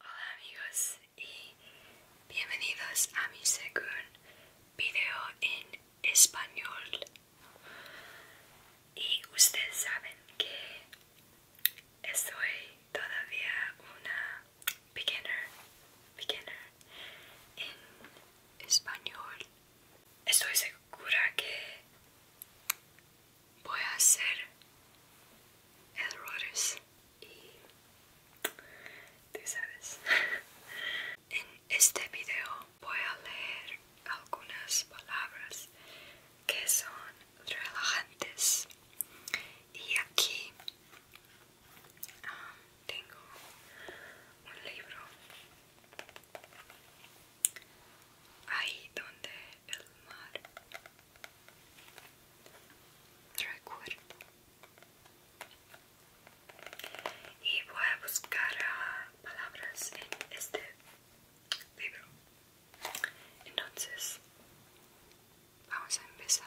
Hola amigos y bienvenidos a mi segundo video en español. Y ustedes saben que estoy todavía una beginner, beginner en español. Estoy segura que voy a hacer errores y tú sabes en este video voy a leer algunas palabras que son relajantes y aquí um, tengo un libro ahí donde el mar. Y voy a buscar palabras en este libro. Entonces, vamos a empezar.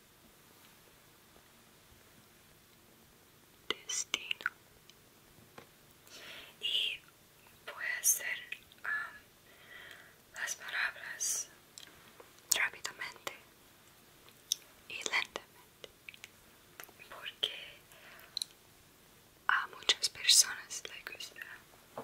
destino y voy a hacer um, las palabras rápidamente y lentamente porque a muchas personas les gusta um,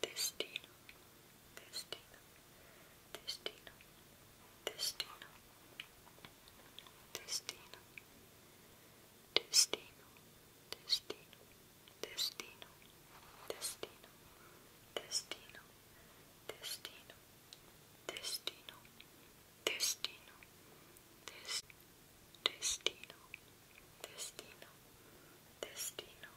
destino, destino, destino, destino, destino, destino, destino, destino, destino, destino, destino, destino, destino, destino, destino, destino,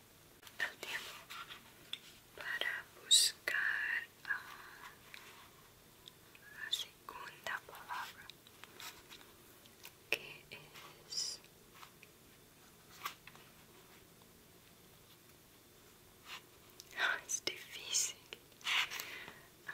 tá tendo para buscar a, segunda palavra que é ah, é difícil ah.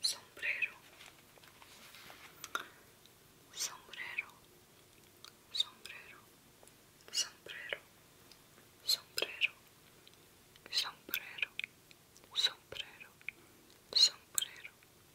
sombrero sombrero sombrero sombrero sombrero sombrero sombrero sombrero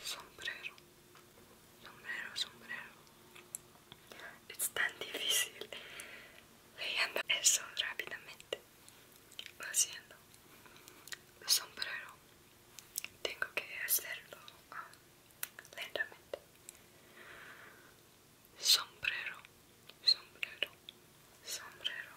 sombrero, sombrero, sombrero. Es tan difícil leyendo eso rápidamente. Lo haciendo. Sombrero. Tengo que hacerlo ah, lentamente. Sombrero, sombrero, sombrero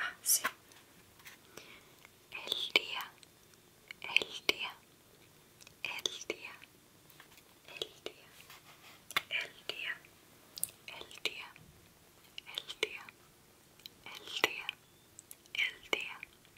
Ah, sí. El día, el día, el día, el día, el día, el día, el día, el día, el día, el día,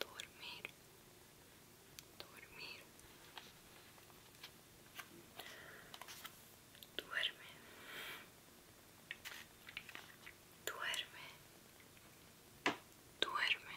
dormir dormir duerme duerme duerme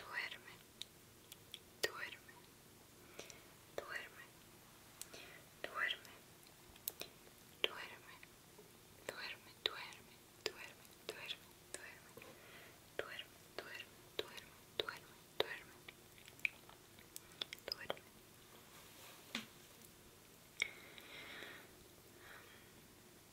duerme, duerme, duerme, duerme, duerme, duerme, duerme, duerme, duerme, duerme, duerme, duerme, duerme, duerme, duerme, duerme.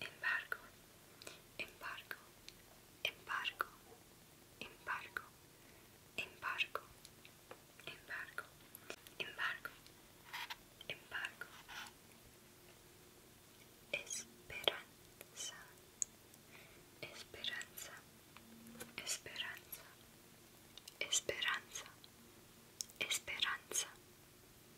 Embargo, embargo, embargo, embargo, embargo, embargo, embargo, embargo. Esperanza, esperanza, esperanza, esperanza, esperanza,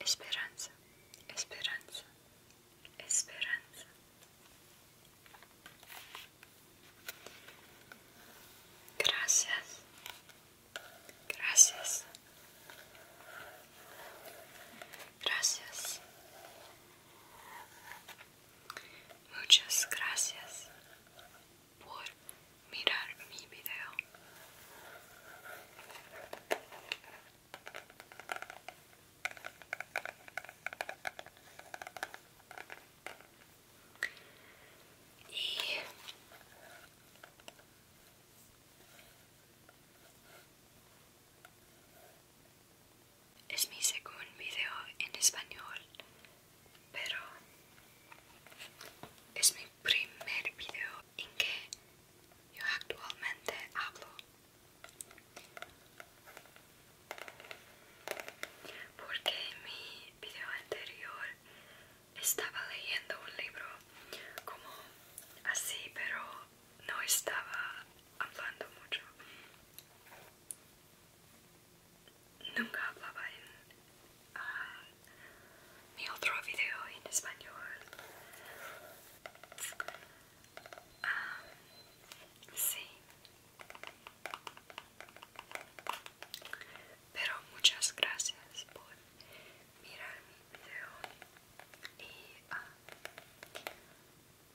Esperanza, esperanza, esperanza. Gracias, gracias, gracias. Muchas gracias por mirar mi video. Y es mi segundo video en español, pero es mi primer video en que yo actualmente hablo porque en mi video anterior estaba leyendo un libro como así pero no estaba hablando mucho nunca hablaba en ah, mi otro video en español. Ah, sí. Pero muchas gracias por mirar mi video y ah,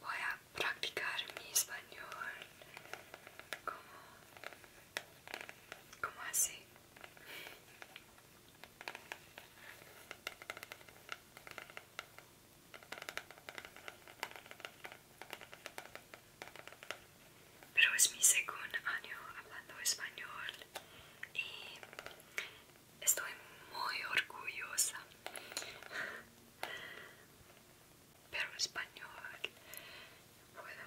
voy a practicar mi español como así. Pero es mi segundo año hablando español y estoy muy orgullosa. Pero español puedo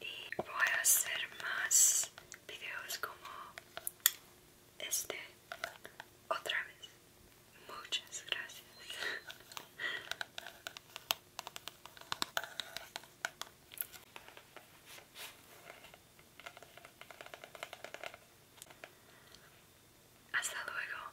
y voy a hacer más videos como este otra vez. Muchas gracias. Hasta luego.